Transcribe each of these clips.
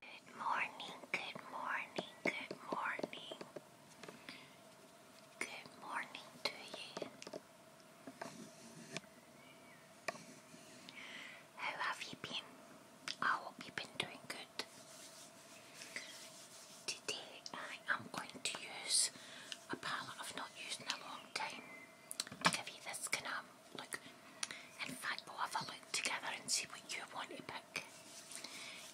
Good morning, good morning, good morning. Good morning to you. How have you been? I hope you've been doing good. Today I am going to use a palette I've not used in a long time to give you this kind of um, look. In fact we'll have a look together and see what you want to pick.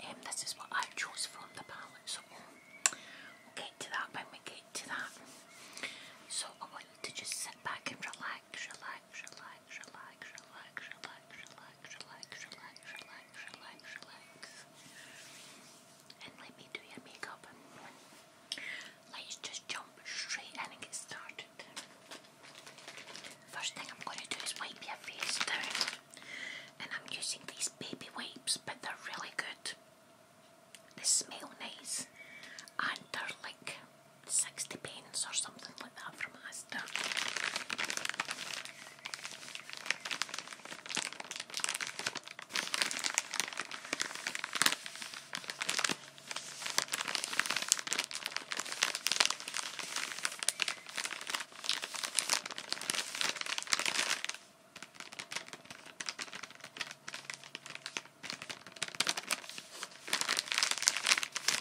And um, this is what I chose from the palette so we'll get to that when we get to that. So I want you to just sit back and relax, relax, relax relax, relax, relax, relax, relax, relax, relax, relax, relax, relax. And let me do your makeup. Let's just jump straight in and get started. First thing I'm going to do is wipe your face down. And I'm using these baby wipes, but they're really good. They smell nice and they're like 60p or something like that from my stuff.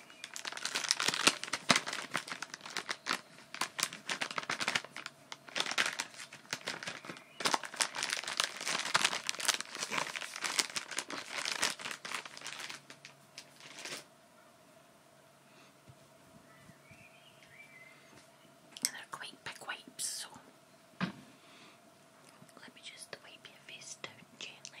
And they're quite big wipes, so let me just wipe your face down gently.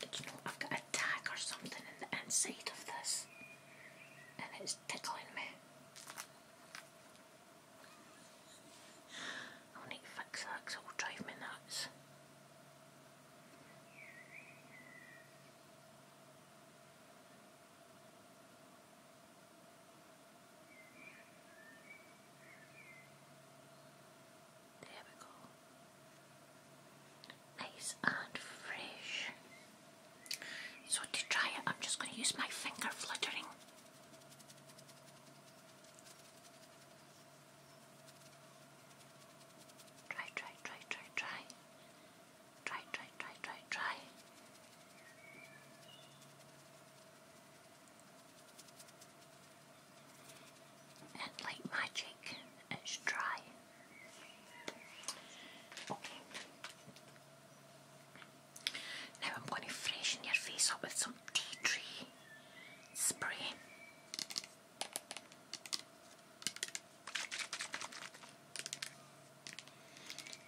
Do you know, I've got a tag or something in the inside of this, and it's tickling me. I'll need to fix that because it will drive me nuts. Nice and fresh. So, to try it, I'm just going to use my finger fluttering. Try, try, try, try, try. Try, try, try, try, try. And like magic, it's dry. Okay. Now I'm going to freshen your face up with some tea tree spray.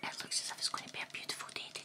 It looks as if it's going to be a beautiful day today.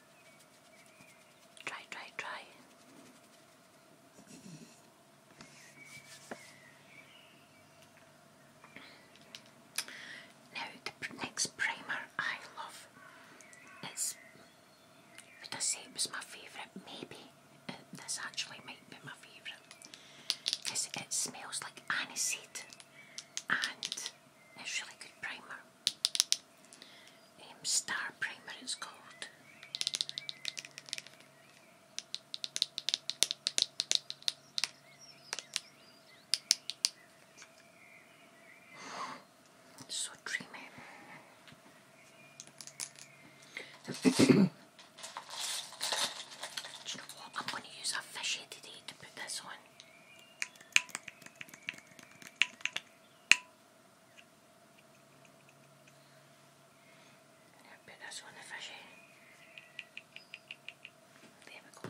Try, try, try. Now the next primer I love is, would I say it my favourite? Maybe. Uh, this actually might be my favourite. Because it smells like aniseed and it's really good primer um, Star Primer it's called. so dreamy. Do you know what? I'm going to use a fish today to put this on. Now put this on the fishy. There we go.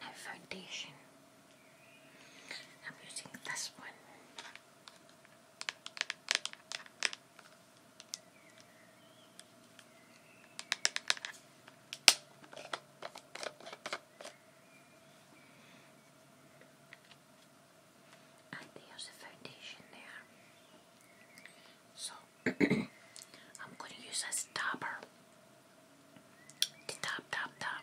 Now foundation. I'm using this one. And there's the foundation there. So I'm going to use a stopper. The top, top, top.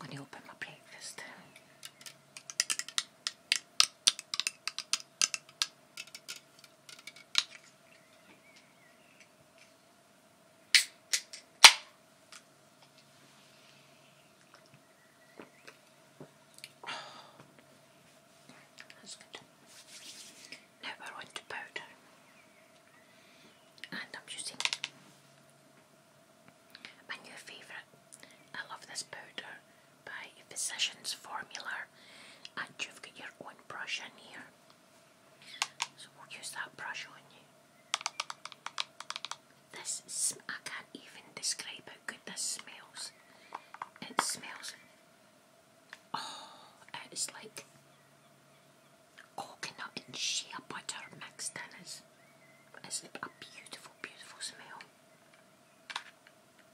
I'm going to open my plate this time. That's good. Now we're on to powder, and I'm using my new favourite. I love this powder by Physicians Formula, and you've got your own brush in here. So we'll use that brush on you. This I can't even describe how good this smells. It smells. Oh, it is like coconut and shea butter mixed in. It's, it's a beautiful, beautiful smell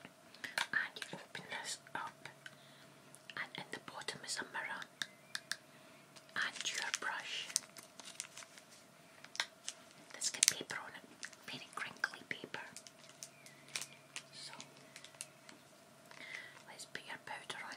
and you open this up and in the bottom is a mirror and your brush. Let's get paper on it, very crinkly paper. So let's put your powder on.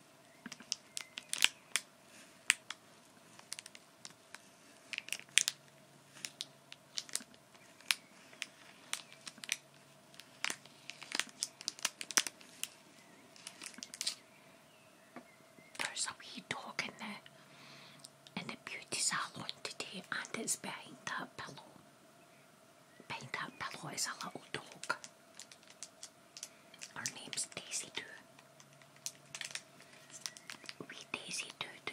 There's a wee dog in the, in the beauty salon today and it's behind that pillow. Behind that pillow is a little dog. Her name's Daisy Doo. We Daisy Doo Doo.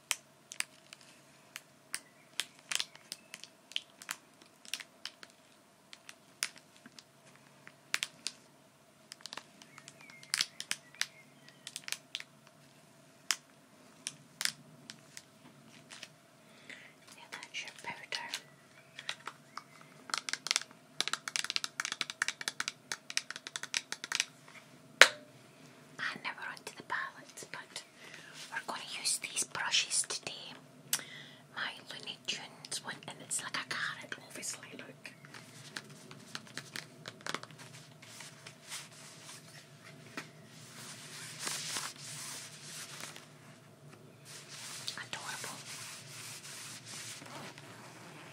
Yeah, that's your powder. I never we to the palettes, but we're going to use these brushes today. My Looney one, and it's like a carrot, obviously, look. Adorable.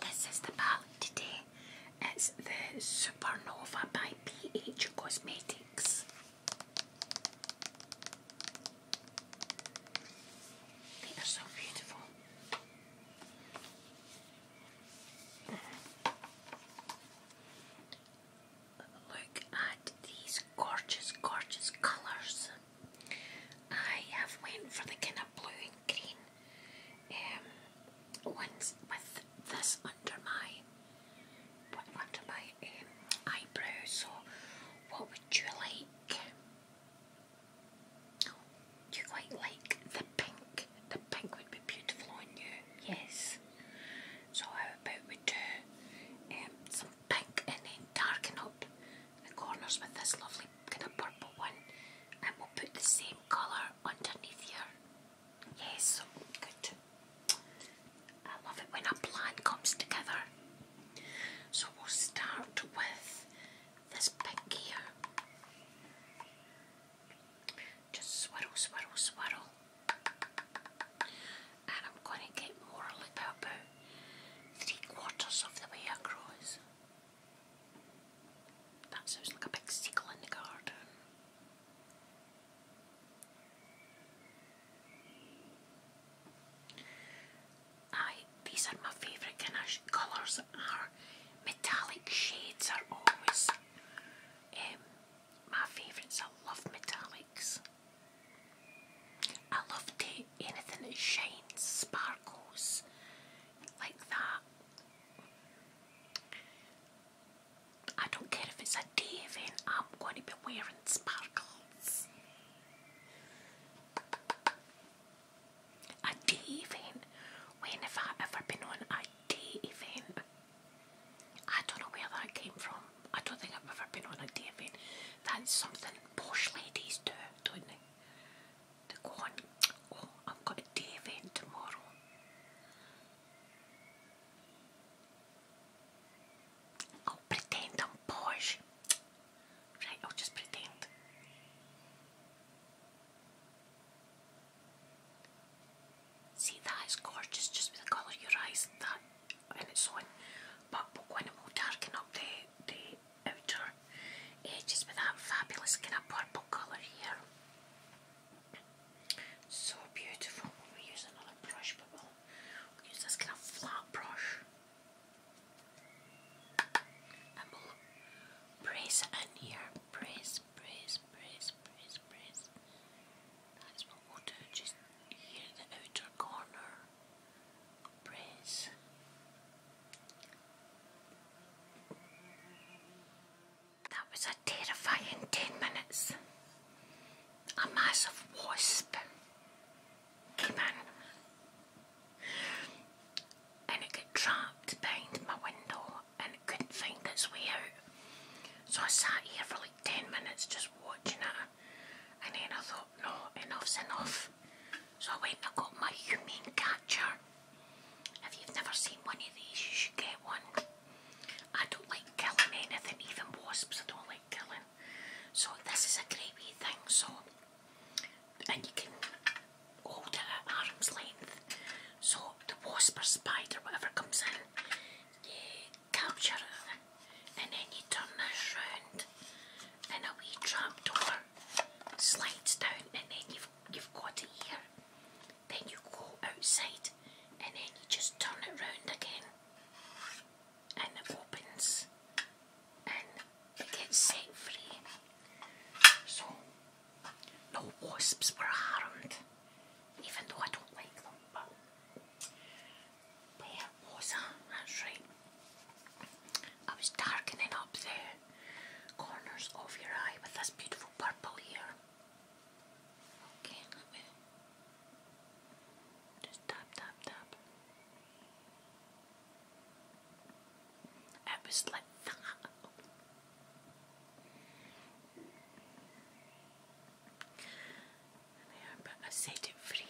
This is the palette today. It's the Supernova by PH Cosmetics. They are so beautiful. Look at these gorgeous, gorgeous colours. I have went for the kind of blue and green um, once with this under my under my um, eyebrow. So, what would you like? Oh, you quite like the pink. The pink would be beautiful on you. Yes. So how about we do um, some pink and then darken up the corners with this lovely kind of purple one and we'll put the same colour underneath here. Yes, good. I love it when a plan comes together. So we'll start with this pink here. Just swirl, swirl, swirl. And I'm going to get more like about three quarters of the way across. That sounds like a big seagull in the garden. Aye, these are my favourite colours are metallic shades are always um, my favourites. I love metallics. I love to anything that shines, sparkles like that. I don't care if it's a day event, I'm going to be wearing sparkles. A day event? When have I ever been on a day event? I don't know where that came from. I don't think I've ever been on a day event. That's something posh ladies do, don't they? to go on. I've got a day event tomorrow. I'll pretend I'm posh. Right, I'll just pretend. See, that is gorgeous just with the colour of your eyes that, and it's on. But we'll will darken up the, outer edges with that fabulous kind of purple colour here. So beautiful. We'll use another brush, but we'll, we'll use this kind of flat brush. And we'll brace it in here. Brace, brace, brace, brace, brace. That's what we'll do. Just here in the outer corner. Brace. That was a terrifying 10 minutes. A massive wasp came in and it got trapped behind my window and it couldn't find its way out. So I sat here for like 10 minutes just watching it and then I thought, no, enough's enough. So I went and got my humane catcher. If you've never seen one of these, you should get one. I don't like killing anything, even wasps I don't like killing. So this is a great wee thing, so and you can hold it arm's length. So the wasp or spider, whatever comes in, you capture it and then you turn this round and a wee trap door slides down and then you've you've got it here, then you go outside and then you just turn it round again and it opens and it gets safely. So no wasps were harmed, even though I don't like them, but was a, that's right. I was darkening up there corners of your eye with this beautiful purple here. Okay, just tap, tap, tap. It was like I set it free.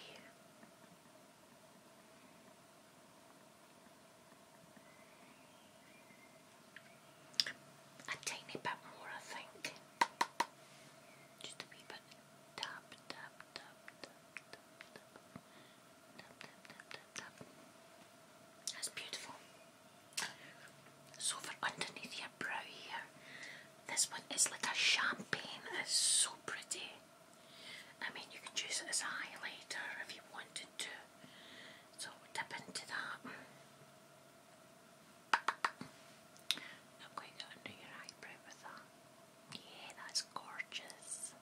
A tiny bit more, I think. Just a wee bit. Tap, tap, tap, tap, tap, tap, tap, tap, tap, tap, tap. That's beautiful. So for underneath your brow here, this one is like a champagne. It's so pretty. I mean, you can use it as a highlighter if you wanted to. So dip into that. Not quite got under your eyebrow with that. Yeah, that's gorgeous.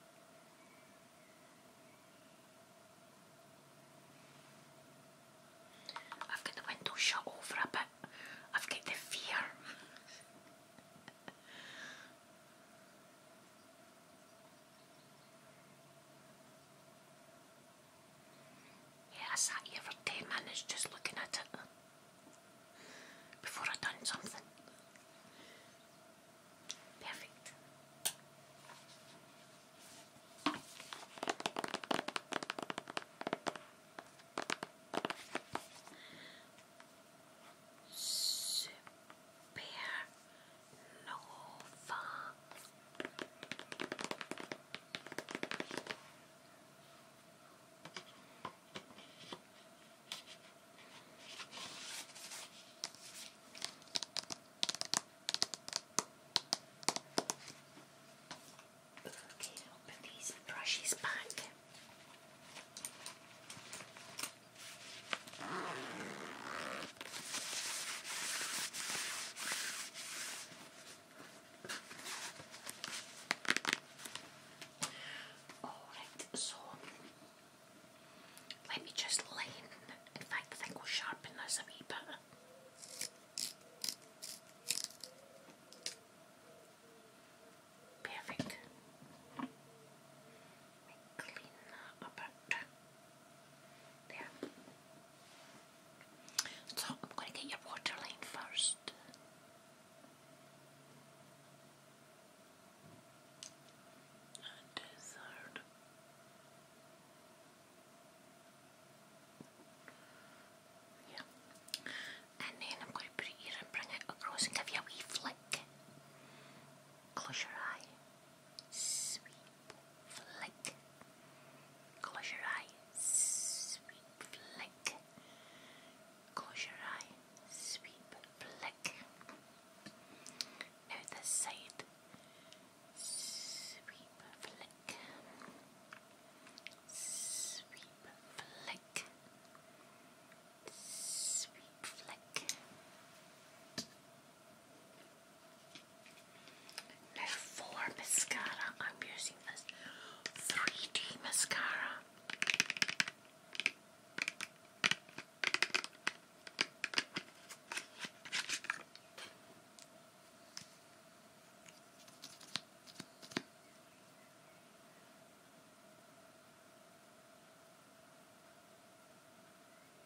I've got the window shut over a bit. I've got the fear. Yeah, I sat here for 10 minutes just looking at it before I done something. Perfect. Super Nova. Okay, open these brushes back. Alright, so let me just line. In fact, I will sharpen this a wee bit. Perfect. So I'm going to get your waterline first. Yeah. And then I'm going to bring it across and give you a wee flick. Close your eye. Sweep, flick. Close your eyes. Sweep, flick. Close your eye. Sweep, flick. Now this side. Sweep, flick. Sweep, flick. Sweet flick. mascara, I'm using this 3D mascara.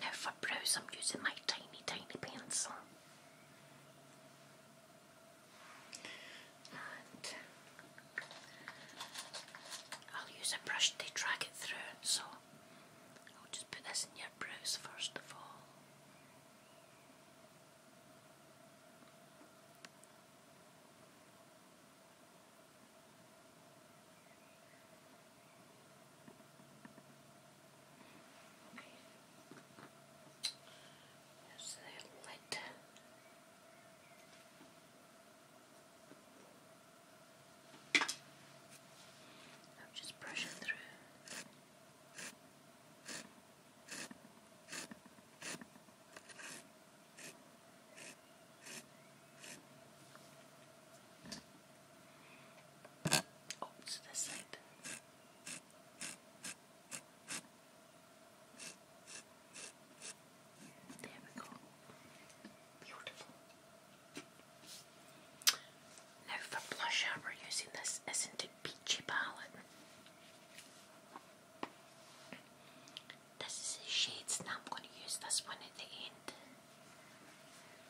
Now for brows I'm using my tiny tiny pencil. I'll use a brush to drag it through so I'll just put this in your brows first of all. Okay. There's the lid. I'm just brushing through. Oh, it's this side. There we go. Beautiful. Now for blusher, we're using this Isn't It Peachy palette. This is the shades, and I'm going to use this one at the end.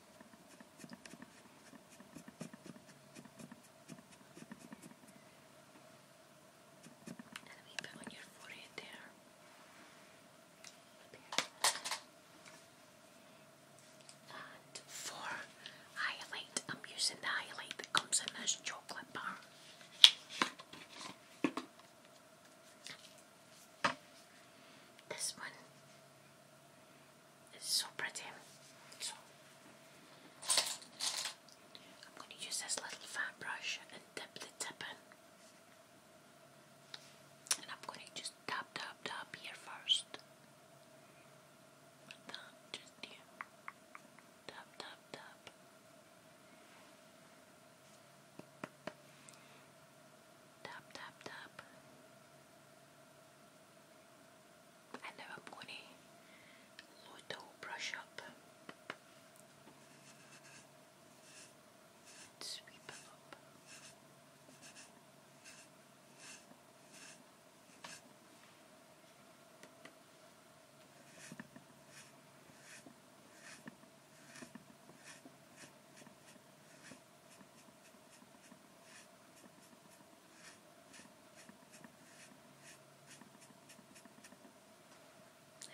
And on your forehead there. And for highlight, I'm using the highlight that comes in this chocolate bar. This one it's so pretty. I'm going to use this little fan brush and dip the tip in. And I'm going to just tap, tap, tap here first. just here. Tap, tap, tap. Tap, tap, and now I'm going to load the brush up. sweep up.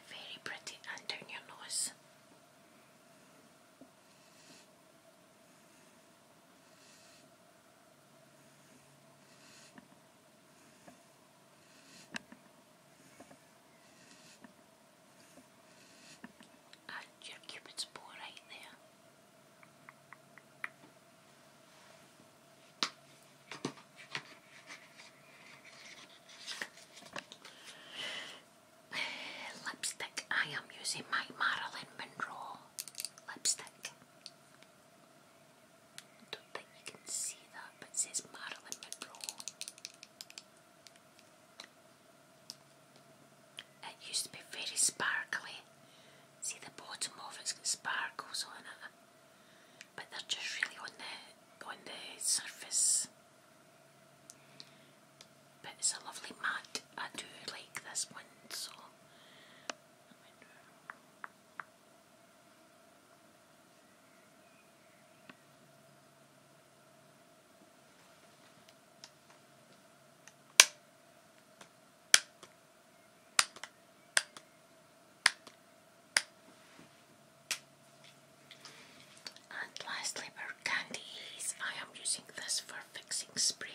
Very pretty and down your nose. And your cupid's bow right there. Lipstick. I am using my Marilyn Monroe lipstick. don't think you can see that, but it says Marilyn Monroe. It used to be very sparkly. See the bottom of it's got sparkles on it. But they're just really on the on the surface. But it's a lovely mat. I do like this one so and lastly, for candies, I am using this for fixing spray.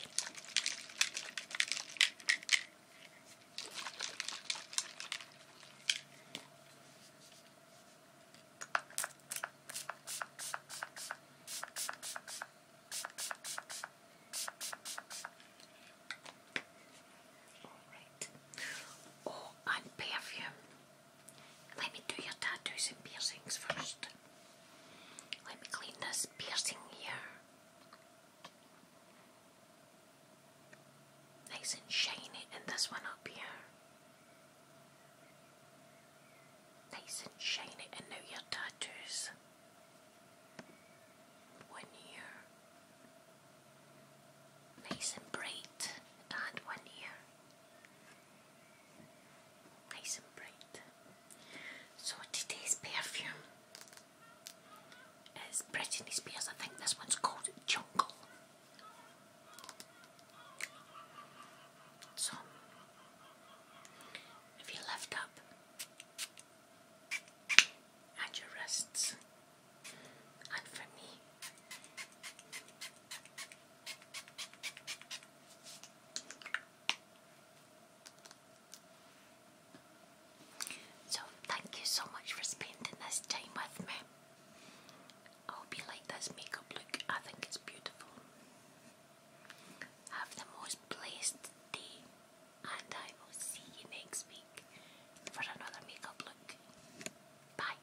Oh, and perfume. Let me do your tattoos and piercings first. Let me clean this piercing here. Nice and shiny, and this one up here nice and shiny, and now your tattoos. One year, nice and bright, and one year, nice and bright. So today's perfume is Britney Spears. I think this one's called Jungle. So if you lift up and your wrists, and for me, so thank you so much for spending this time with me. I hope you like this makeup look, I think it's beautiful. Have the most blessed day, and I will see you next week for another makeup look. Bye.